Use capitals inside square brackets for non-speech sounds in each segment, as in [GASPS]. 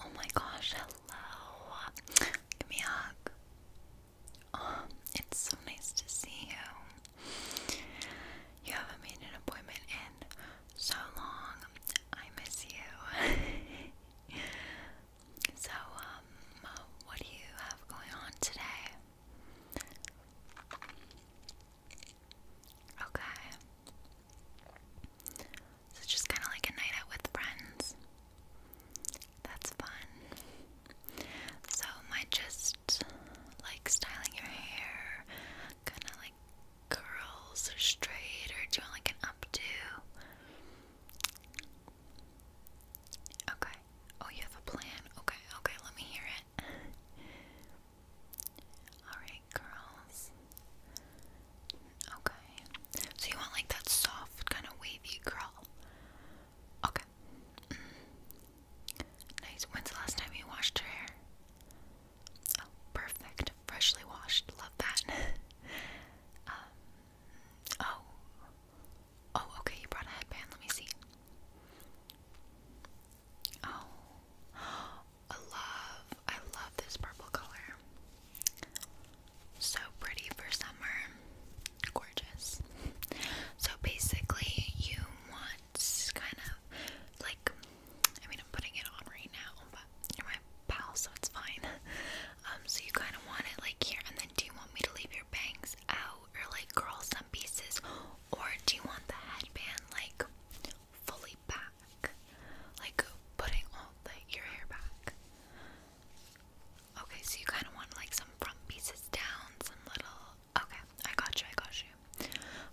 Oh my gosh, hello. Give me a hug. Um, it's so nice to see you. You haven't made an appointment in so long. I miss you. [LAUGHS] so, um, what do you have going on today? Okay. So it's just kind of like a night out with friends. That's fun. So my just like styling your hair, kind of like curls or straight, or do you want like an updo? Okay. Oh, you have a plan. Okay, okay, let me hear it. Alright curls. Okay. So you want like that soft, kind of wavy curl. Okay. Mm. Nice. When's the last time you washed your hair? Oh, perfect. Freshly washed. Love that. [LAUGHS] um, oh. Oh, okay. You brought a headband. Let me see. Oh. I love, I love this purple color. So pretty for summer. Gorgeous. So basically, you want kind of like, I mean, I'm putting it on right now, but you're my pal, so it's fine. [LAUGHS] Um, so you kind of want it like here, and then do you want me to leave your bangs out or like curl some pieces, or do you want the headband like fully back, like putting all your hair back. Okay, so you kind of want like some front pieces down, some little. Okay, I got you. I got you.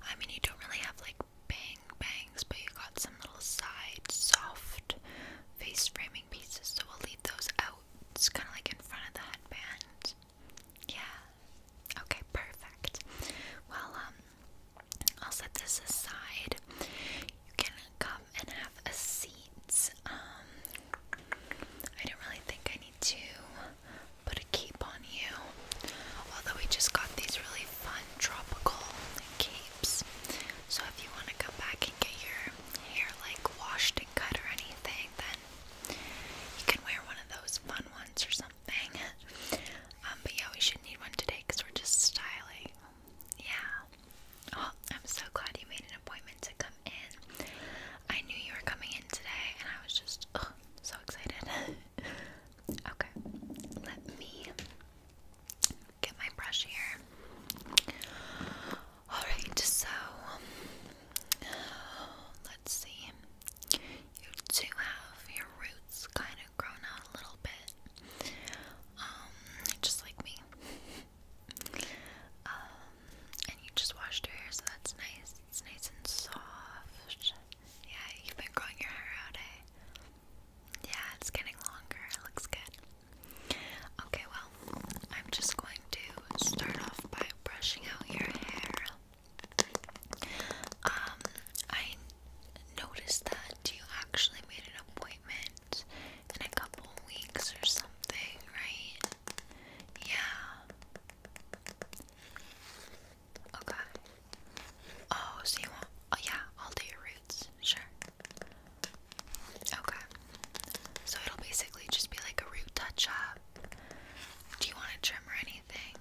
I mean, you don't really have like bang bangs, but you got some little side soft face framing pieces, so we'll leave those out. It's kind of like in front of the headband. Yeah. Okay, perfect. Well, um, I'll set this aside. You can come and have a seat. Um, I don't really think I need to put a cape on you. Although we just got these really fun tropical capes. So if you want to come back and get your hair like washed and cut or anything, then you can wear one of those fun ones or something. Um, but yeah, we should need one today because we're just styling. Yeah. Oh, I'm so glad you made an appointment to come in. I knew you were coming in today, and I was just so excited. [LAUGHS] okay, let me get my brush here. Alright, so let's see. You do have your roots kind of grown out a little bit. Um, just like me. [LAUGHS] Um, and you just washed your hair, so that's nice. It's nice and soft. Yeah, you've been growing your hair out, eh? Yeah, it's getting longer. It looks good. Okay, well, I'm just going to start off by brushing out your hair. Um, I noticed that you actually made an appointment in a couple weeks or something, right? Yeah. Okay. Oh, so you want? Oh, yeah. I'll do your roots. Sure. Okay. So it'll basically just be like a root touch up. Do you want to trim or anything?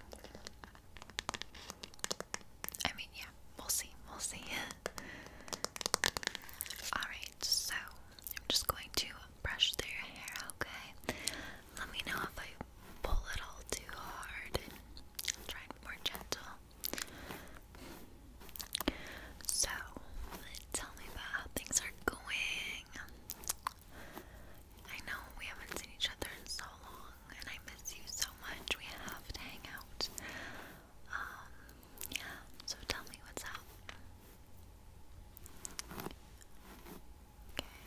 I mean, yeah, we'll see, we'll see. [LAUGHS] Alright, so I'm just going to brush through hair, okay? Let me know if I pull it all too hard and more gentle. So, tell me about how things are going. I know we haven't seen each other in so long and I miss you so much. We have to hang out. Um, yeah, so tell me what's up. Okay.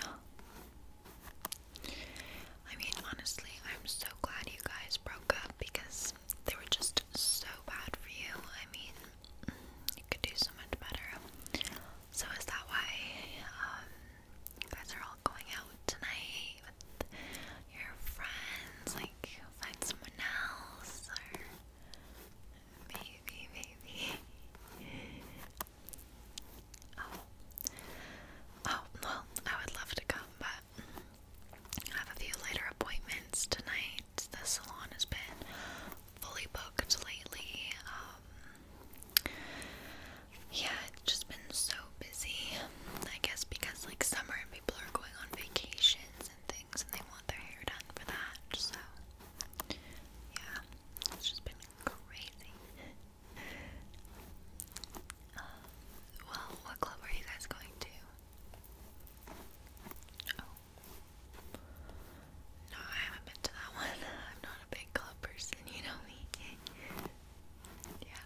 Oh. [GASPS] I mean, honestly, I'm so glad you guys broke up because they were just so bad for you. I mean, you could do so much better. So is that why um, you guys are all going out tonight with your friends? Like find someone else, or maybe, maybe. Oh, oh well, I would love to come, but I have a few later appointments tonight. The salon has been fully booked lately. Um, um yeah, it's just been so busy. I guess because like summer and people are going on vacations and things and they want their hair done for that. So yeah, it's just been crazy. Um, [LAUGHS] well, what club are you guys going to? Oh. No, I haven't been to that one. I'm not a big club person, you know me. yeah.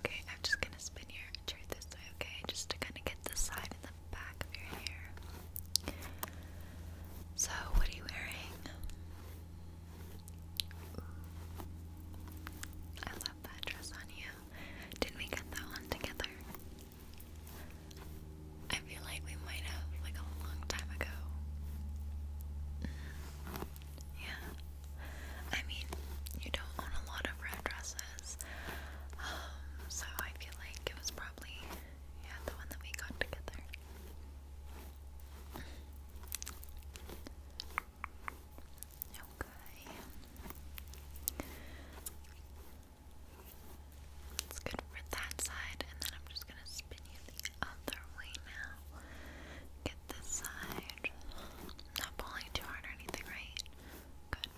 Okay, I'm just gonna spin your chair this way, okay? Just to kind of get the side and the back of your hair. So, what are you wearing? I love that dress on you. Did we get that one together? I feel like we might have like a long time ago. Yeah. I mean, you don't own a lot of red dresses. Um, so I feel like it was probably yeah, the one that we got together. Okay. It's good for that side, and then I'm just gonna spin you the other way now. Get this side. Not pulling too hard or anything, right? Good,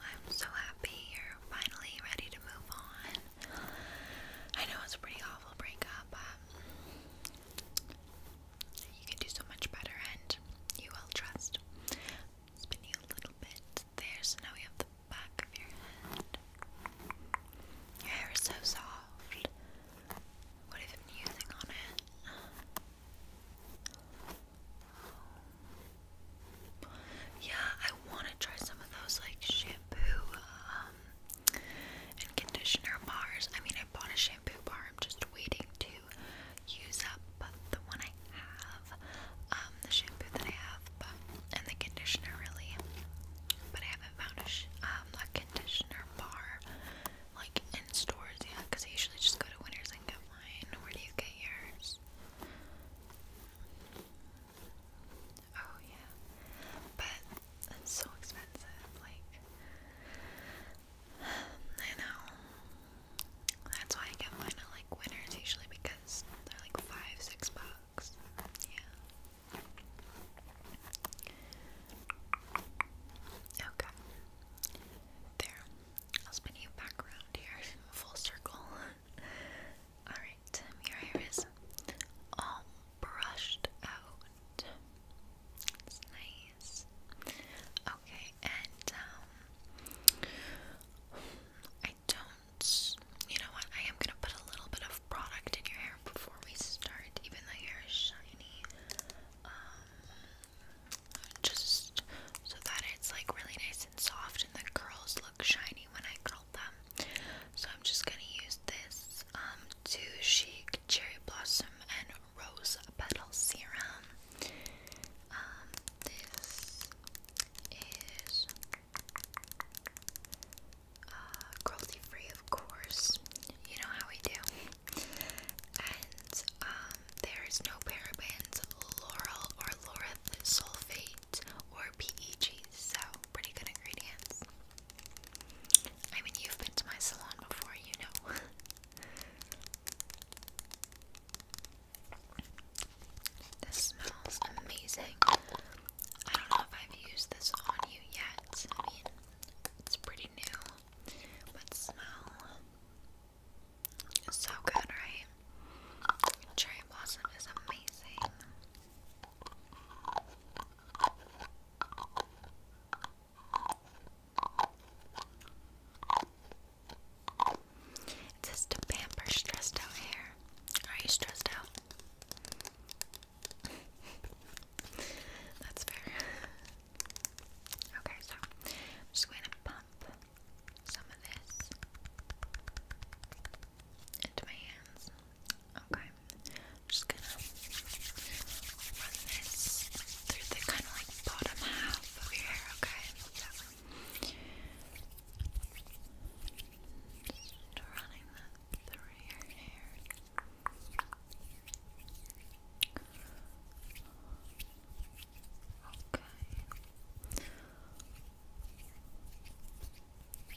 I'm so happy you're finally ready to move on. I know it's a pretty awful breakup, you can do so much better and you will trust. Spin you a little bit there, so now we have the back of your head. Your hair is so soft. What have you been using on it? Yeah, I want to try some of those like shampoo um, and conditioner bars. I mean, I bought a shampoo bar. I'm just waiting to use up the one I have, um, the shampoo that I have, but and the conditioner really. But I haven't found a sh um a conditioner bar like in stores yet, because I usually just go to Winners and get mine. Where do you get yours? Oh yeah. But it's so expensive, like I know. That's why I get mine at like winners usually because they're like five, six bucks. Yeah. Okay. There. I'll spin you back around here, [LAUGHS] full circle. [LAUGHS] Alright, your hair is all brushed out. It's nice. Okay, and um, I don't. You know what? I am gonna put a little bit of product in your hair before we start, even though your hair is shiny. Um, just so that it's like really nice and soft, and the curls look shiny when I curl so I'm just gonna use this um Too Chic Cherry Blossom and Rose Petal Serum. Um, this is uh, cruelty free, of course. You know how we do. And um, there is no parabens, laurel or laureth sulfate, or PEGs. so pretty good ingredients. I mean, you've been to my salon before, you know. [LAUGHS] this smells amazing. I don't know if I've used this on you yet. I mean, it's pretty new, but smell so good, right? Cherry blossom is amazing. It to pamper stressed out hair. Are you stressed out? [LAUGHS] That's fair. Okay, so I'm just going to pump some of this into my hands. Okay. I'm just gonna run this through the kind of like bottom half over here, okay? running that through your hair. Okay. I'm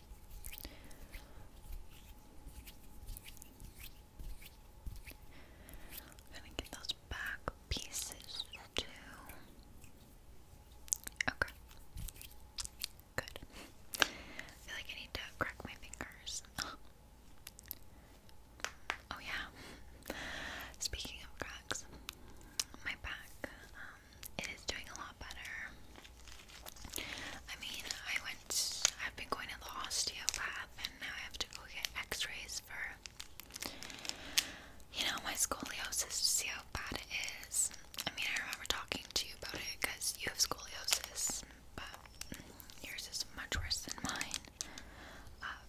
gonna get those back pieces too. Okay. Good. I feel like I need to crack my fingers. [GASPS] Oh, yeah. Speaking of cracks, my back. Um, it is doing a lot better. I mean, I went, I've been going to the osteopath, and now I have to go get x rays for, you know, my scoliosis to see how bad it is. I mean, I remember talking to you about it because you have scoliosis, but yours is much worse than mine. Um,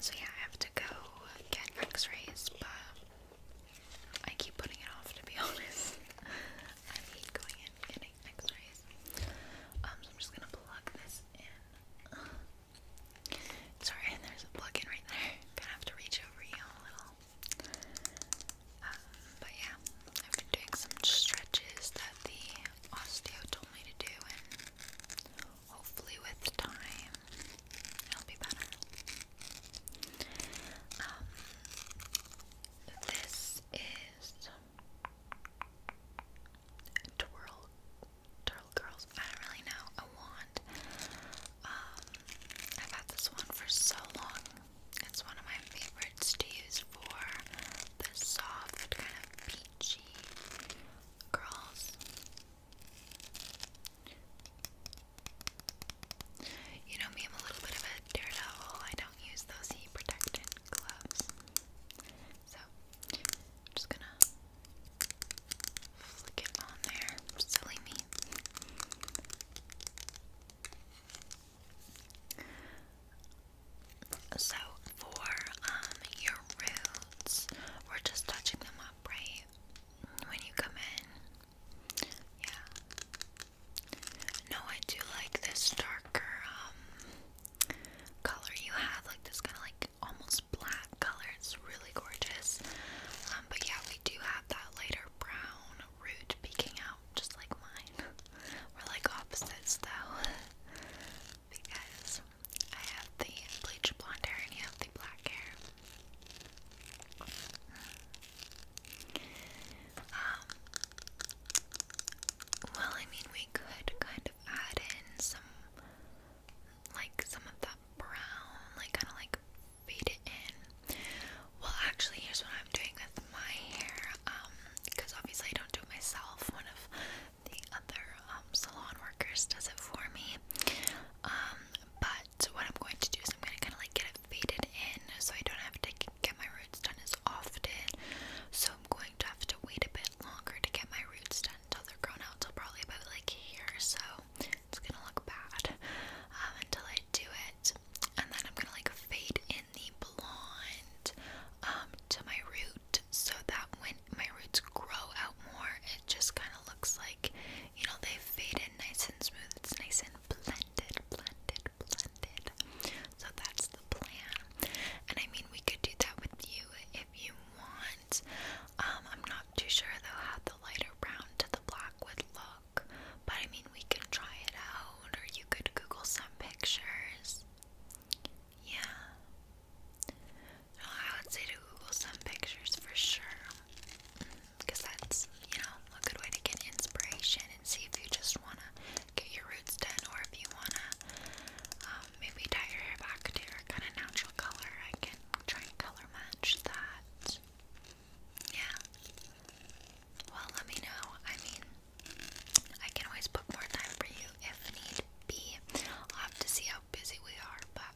so, yeah, I have to go get x rays, but I keep putting it off to be [LAUGHS] honest. I hate going in getting x-rays. Um, so I'm just gonna plug this in. [SIGHS] Sorry, and [LAUGHS] there's a plug in right there. [LAUGHS] Gonna have to reach over you a little. Um, but yeah, I've been doing some stretches that the osteo told me to do, and hopefully with time it'll be better this is twirl, twirl girls. I don't really know. A wand. I've had this one for so long. It's one of my favorites to use for the soft kind of peachy girls. You know me, I'm a little bit of a daredevil. I don't use those heat protectant gloves. So, I'm just gonna flick it on there. Silly me. So, for um, your roots, we're just touching them up, right? When you come in, yeah. No, I do like this darker um, color you have, like this kind of like almost black color. It's really gorgeous. Um, but yeah, we do have that lighter brown root peeking out, just like mine. [LAUGHS] We're like opposites though, [LAUGHS] because I have the bleach blonde hair and you have the black hair. Um, well, I mean, we could kind of add in some, like, some of that brown, like, kind of like fade it in. Well, actually, here's what I'm doing with my hair, um, because obviously I don't do it myself. One of the other um, salon workers does it for me. Um, but what I'm going to do is I'm going to kind of like get it faded in so I don't have to get my roots done as often. So I'm going to have to wait a bit longer to get my roots done until they're grown out till probably about like here. So it's going to look bad um, until I do it. And then I'm going to like fade in the blonde um, to my root so that when my roots grow out more, it just kind of looks like you know, they fade in nice and smooth. It's nice and blended, blended, blended. So that's the plan. And I mean, we could do that with you if you want. Um, I'm not too sure though how the lighter brown to the black would look, but I mean, we can try it out, or you could Google some pictures. Yeah. I would say to Google some pictures for sure because that's, you know, a good way to get inspiration and see if you just want to get your roots done or if you want to um, maybe dye your hair back to your kind of natural color. I can try and color match that. Yeah. Well, let me know. I mean, I can always book more time for you if need be. I'll have to see how busy we are, but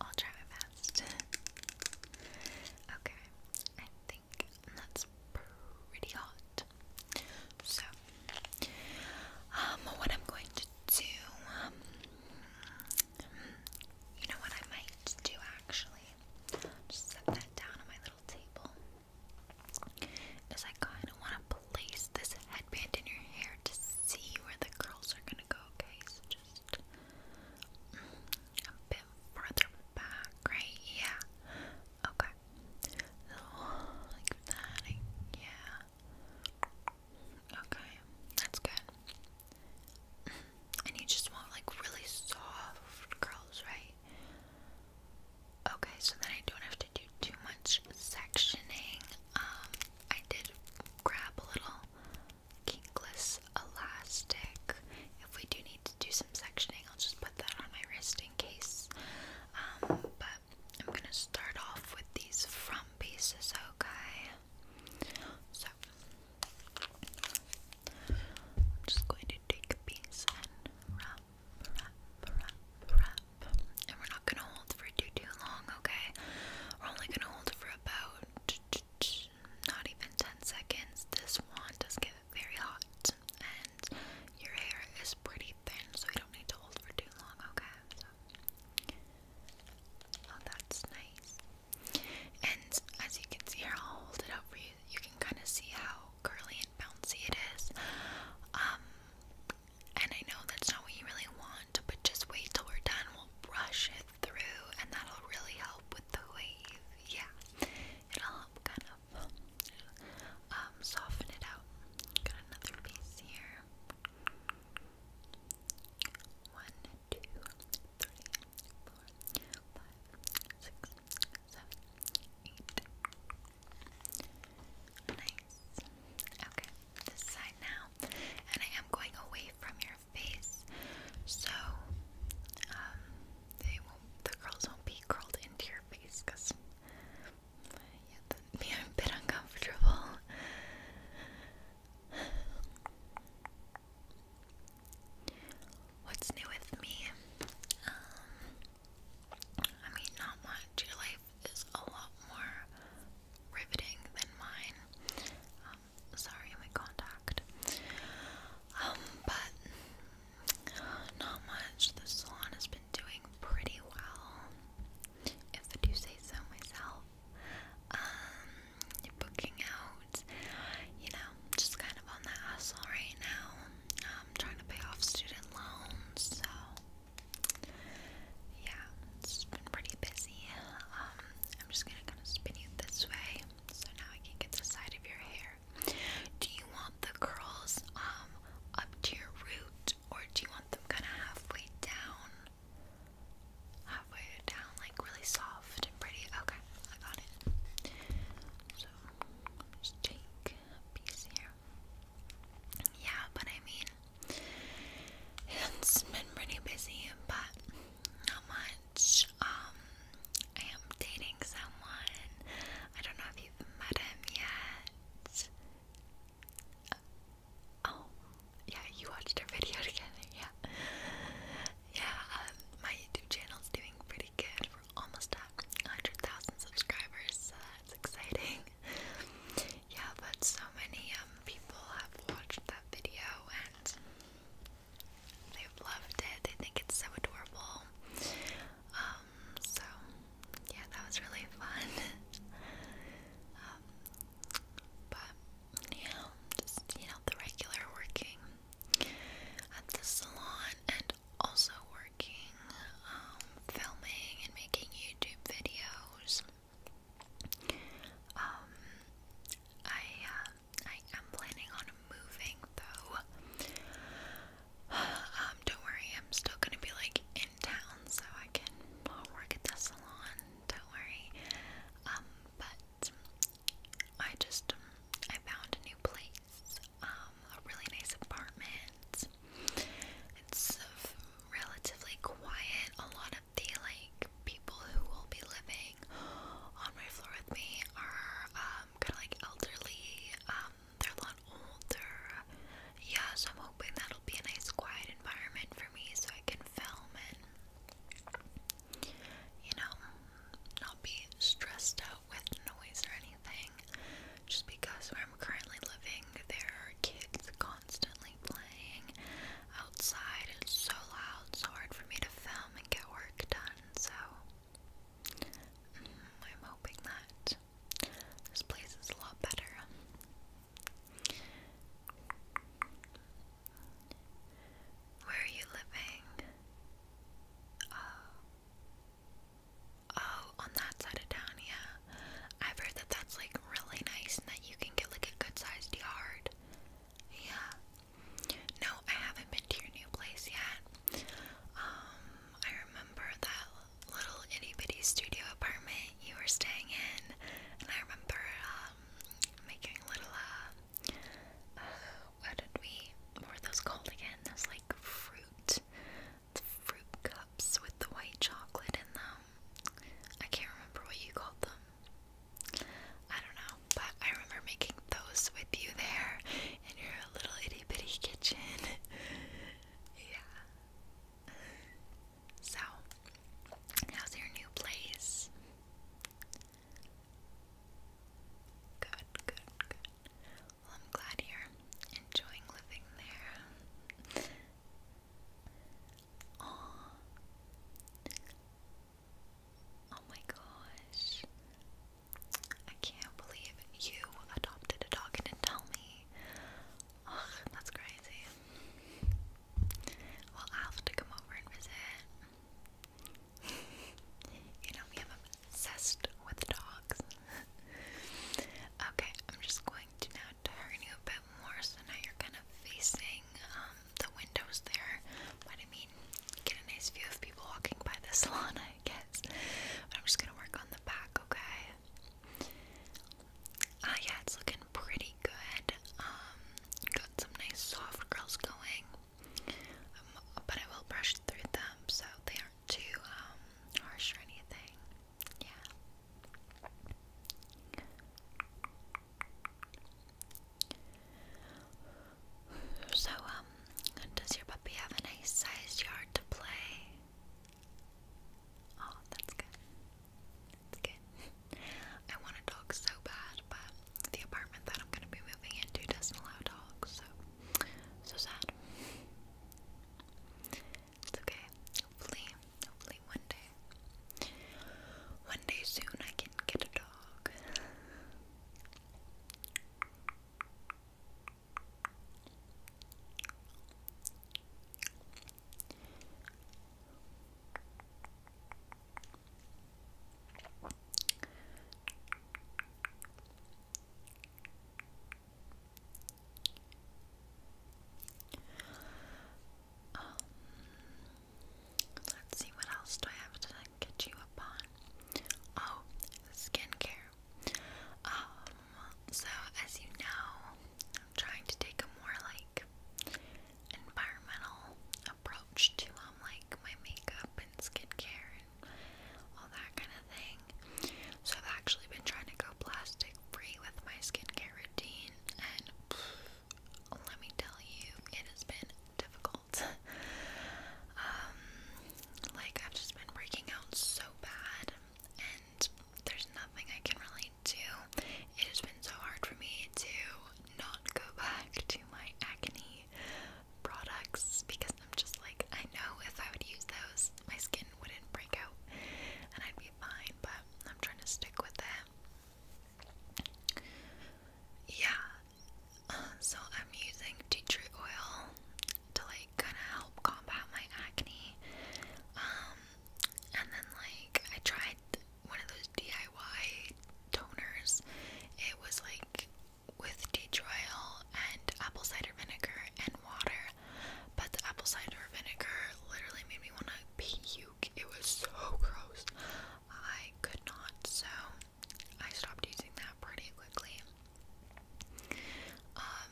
I'll try my okay, I think that's pretty hot. So, um, what I'm going to do, um, you know what I might do actually? Just set that down on my little table. Is I kind of want to place this headband in your hair to see where the curls are gonna go. Okay, so just a bit further back, right? Yeah. Okay. So, like that. Yeah. Okay. That's good. And you just want like really soft curls, right? Okay, so then I don't have to do too much sectioning. Um, I did grab a little kinkless elastic. If we do need to do some sectioning, I'll just put that on my wrist in case. Um, but I'm gonna start off with these front pieces, okay? So I'm just going to take a piece and wrap, wrap, wrap, wrap. And we're not gonna hold for too too long, okay? We're only gonna hold for about not even 10 seconds, this wand does get very hot, and your hair is pretty thin, so you don't need to hold for too long, okay? So. Oh, that's nice. And as you can see here, I'll hold it up for you. You can kind of see how curly and bouncy it is. Um, and I know that's not what you really want, but just wait till we're done. We'll brush it through, and that'll really help with the wave. Yeah, it'll help kind of um, soften it out. Got another piece here. One, two, three, four, five, six, seven, eight. Okay, this side now. And I am going away from your face, so um, they won't, the curls won't be curled into your face because yeah, that'd [LAUGHS] a bit uncomfortable. What's new with me? Um, I mean, not much. Your life is a lot more riveting than mine sorry, my contact. Um, but not much. The salon has been doing pretty well, if I do say so myself. Um, booking out, you know, just kind of on the hustle right now. I'm um, trying to pay off student loans, so yeah, it's been pretty busy. I'm just gonna kind of spin you this way so now I can get the side of your hair. Do you want the curls um up to your root or do you want them kind of halfway down? Halfway down, like really soft and pretty. Okay, I got it. So just take a piece here. Yeah, but I mean, [LAUGHS] it's been pretty busy, but not much. Um, I am dating someone. I don't know if you've met him yet. oh, yeah, you watched our [LAUGHS] video together, yeah. Yeah, um, my YouTube channel's doing pretty good. We're almost at 100,000 subscribers, so that's exciting. Yeah, but so many um people have watched that video and They've loved it. They think it's so adorable. Um, so yeah, that was really [LAUGHS] fun. um, but yeah, just you know, the regular working at the salon and also working, um, filming and making YouTube videos. Um, I uh, I am planning on moving though. [SIGHS] Um, don't worry, I'm still gonna be like in town, so I can work at the salon. Don't worry. Um, but I just um, I found a new place. Um, a really nice apartment. It's relatively quiet. A lot the like people who will be living on my floor with me are um, kind of like elderly. Um, they're a lot older. Yeah, so I'm hoping that'll be a nice quiet environment for me so I can film and you know not be stressed out with noise or anything. Just because where I'm currently living, there are kids constantly playing outside. It's so loud, so hard for me to film and get work done. So mm, I'm hoping that this place is a lot better. Where are you living? Oh. oh, on that side of town, yeah. I've heard that that's like really nice and that you can get like a good sized yard. Yeah. No, I haven't been to your new place yet. Um, I remember that little itty bitty studio apartment you were staying in, and I remember um making little uh, uh what did we? were those called again? Those like fruit, fruit cups with the white chocolate in them. I can't remember what you called them. I don't know, but I remember making those with you there in your little itty bitty kitchen. [LAUGHS] yeah. So, how's your new place? Good, good, good. Well, I'm glad you're enjoying living there. Oh. Oh my gosh. I can't believe you adopted a dog and didn't tell me. Ugh, that's crazy. Well, i have to come over and visit. [LAUGHS] you know, me, I'm obsessed with dogs. [LAUGHS] okay, I'm just going to now turn you a bit more so now you're kind of facing um, the windows there, I mean, get a nice view of people walking by the [LAUGHS] salon, I guess. But I'm just gonna work on the back, okay? Ah, yeah, it's looking pretty good. Um, got some nice soft curls going, um, but I will brush through them so they aren't too um, harsh or anything. Yeah. So, um, does your puppy have a nice sized yard to play? Oh, that's good. That's good. [LAUGHS] I want a dog so bad, but the apartment that I'm going to be moving into doesn't allow dogs, so so sad. It's okay. Hopefully, Hopefully one day. One day soon I can get a dog. Um, let's see what else do I have to get you up on. Oh, skincare. Um, so as you know, I'm trying to take a more like environmental approach to um, like my makeup and skincare and all that kind of thing. So I've actually been trying to go plastic free with my skincare routine and let me tell you, it has been difficult. [LAUGHS] Um, like, I've just been breaking out so bad, and there's nothing I can really do. It has been so hard for me to not go [LAUGHS] back to my acne products because I'm just like, I know if I would use those, my skin wouldn't break out and I'd be fine, but I'm trying to stick with it. Yeah, um, so I'm using tea tree oil to like kind of help combat my acne. Um, and then like I tried one of those DIY toners. It was like with tea tree oil and apple cider vinegar and water, but the apple cider vinegar literally made me want to pee it was so gross. I could not, so I stopped using that pretty quickly. Um,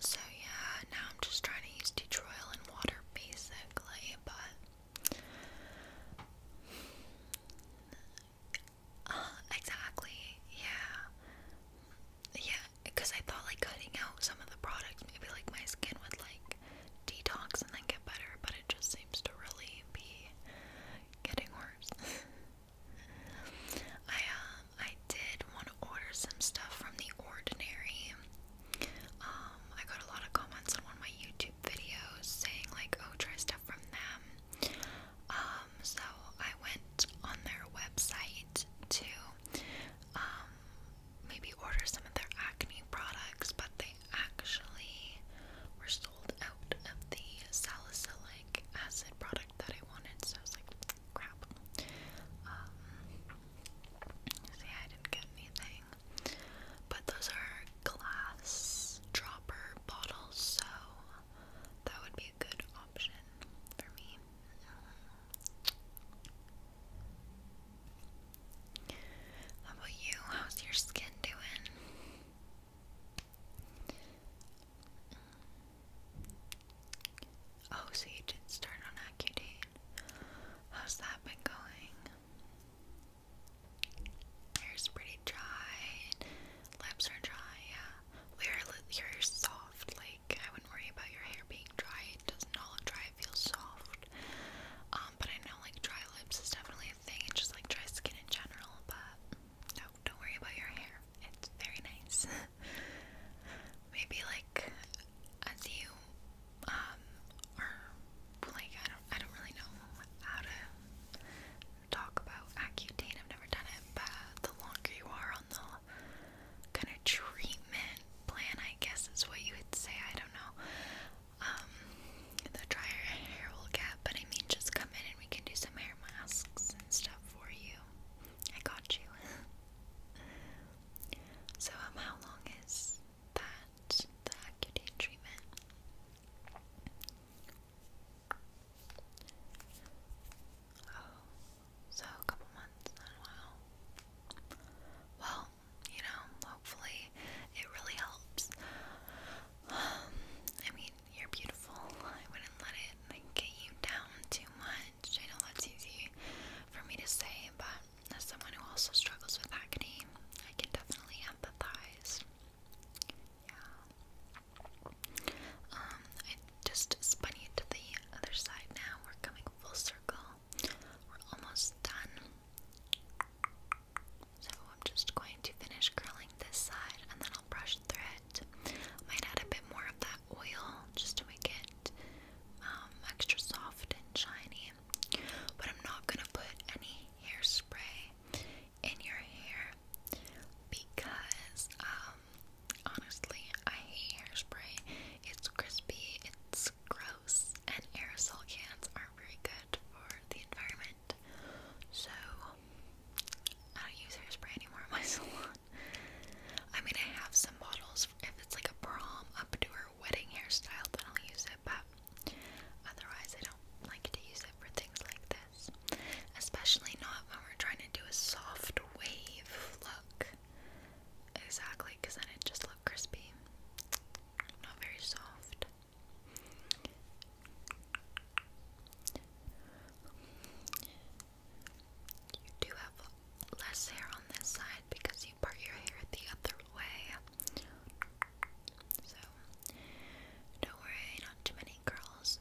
so yeah, now I'm just trying to use tea tree oil and water basically, but uh, exactly, yeah. Yeah, because I thought like cutting out some of the products, maybe like my skin would like like detox and then get better, but it just seems to really be getting worse. [LAUGHS] I um I did want to order some stuff from the ordinary. Um, I got a lot of comments on one of my YouTube videos saying like, oh, try stuff from them. Um, so I went on their website to um maybe order some of their acne products, but they actually were sold out of the salicylic acid product that I wanted, so I was like, crap. Um, see, I didn't get anything. But those are glass dropper bottles, so that would be a good option for me. How about you? How's your skin doing? Oh, so you did start on Accutane. How's that been going? Hair's pretty dry. Lips are dry, yeah. Your, your hair's soft, like, I wouldn't worry about your hair being dry. It doesn't all look dry, feels soft. Um, but I know like dry lips is definitely a thing, it's just like dry skin in general, but no, don't worry about your hair. It's very nice. [LAUGHS] Maybe like as you are um, like I don't I don't really know how to talk about Accutane, I've never done it, but the longer you are on the kind of treatment plan, I guess is what you would say. I don't know. Um, the dryer hair will get, but I mean, just come in and we can do some hair masks and stuff for you. I got you. [LAUGHS] so, um, how long is that the Accutane treatment? Oh, so a couple months. Wow. Well, you know, hopefully it really helps. Um, I mean, you're beautiful. I wouldn't let it get you down too much. I know that's easy for me to say, but as someone who also struggles with acne, I can definitely empathize. Yeah. Um, I just spun you to the other side now. We're coming full circle. We're almost done. So I'm just going to finish curling this side and then I'll brush through it. Might add a bit more of that oil just to make it um, extra soft and shiny. But I'm not gonna put any hairspray in your hair because um, honestly I hate hairspray. It's crispy, it's gross, and aerosol cans aren't very good for the environment. So, I don't use hairspray anymore in my [LAUGHS] salon. I mean, I have some bottles if it's like a prom, up to her wedding hairstyle, then I'll use it, but otherwise, I don't like to use it for things like this. Especially not when we're trying to do a soft wave look. Exactly, because then it just looked crispy. Not very soft. You do have less hair on this side because you part your hair the other way. So, don't worry, not too many curls.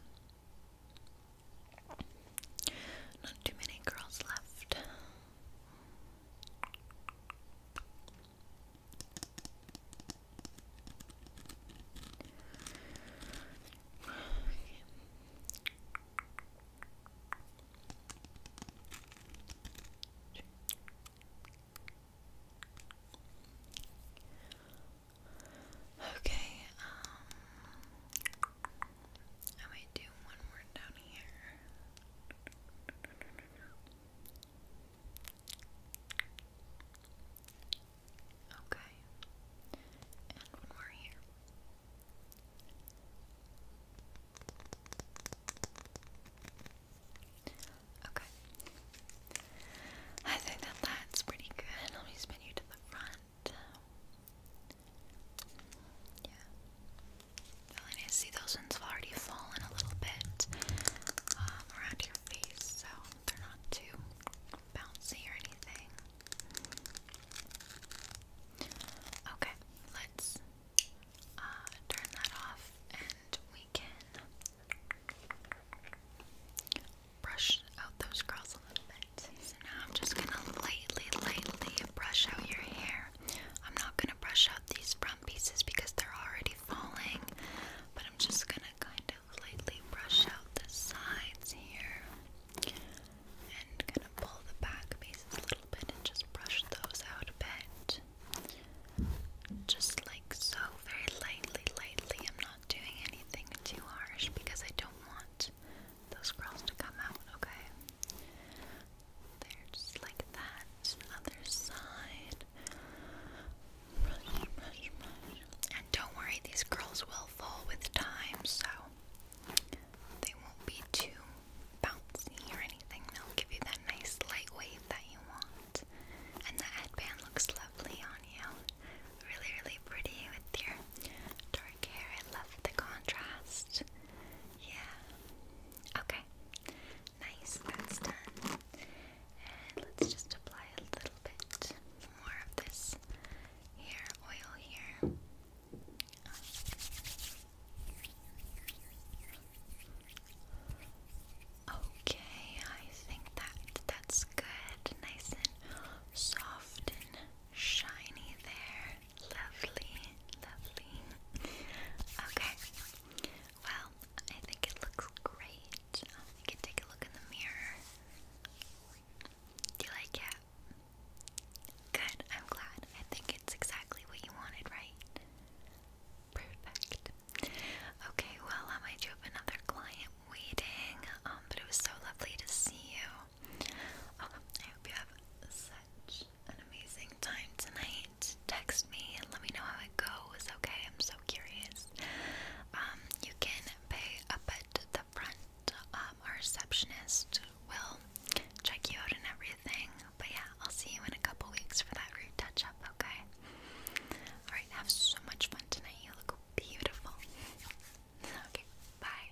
Not too many girls left. Okay. Okay, um, I might do one more down here. Okay. And one more here. Okay. I think that that's pretty good. Let me spin you to the front. Yeah. I see those ones have already fallen a little bit um, around your face, so they're not too bouncy or anything. Okay, let's uh, turn that off and we can brush out those curls a little bit. I'm just gonna lightly, lightly brush out your hair. I'm not gonna brush out these front pieces because they're already falling, but I'm just gonna kind of lightly brush out the sides here and gonna pull the back pieces a little bit and just brush those out a bit. Just like so, very lightly, lightly. I'm not doing anything too harsh because I don't want those curls to come out, okay? They're just like that. Other side. Brush, brush, brush. And don't worry, these curls will fall with time, so they won't be too bouncy or anything. They'll give you that nice light wave that you want. And the headband looks lovely on you. Really, really pretty with your dark hair. I love the contrast. Yeah. Okay. Nice. That's done. And let's just apply a little bit more of this hair oil here. Okay, I think that that's good. Nice and soft and shiny there. Lovely, lovely. Okay. Well, I think it looks great. You can take a look in the mirror. Do you like it? Good, I'm glad. I think it's exactly what you wanted, right? Perfect. Okay, well, um, I do have another client waiting, um, but it was so lovely to see you. I hope you have such an amazing time tonight. Text me and let me know how it goes, okay? I'm so curious. Um, you can pay up at the front. Um, our receptionist will check you out and everything. But yeah, I'll see you in a couple weeks for that root touch up, okay? Alright, have so much fun tonight. You look beautiful. okay, bye.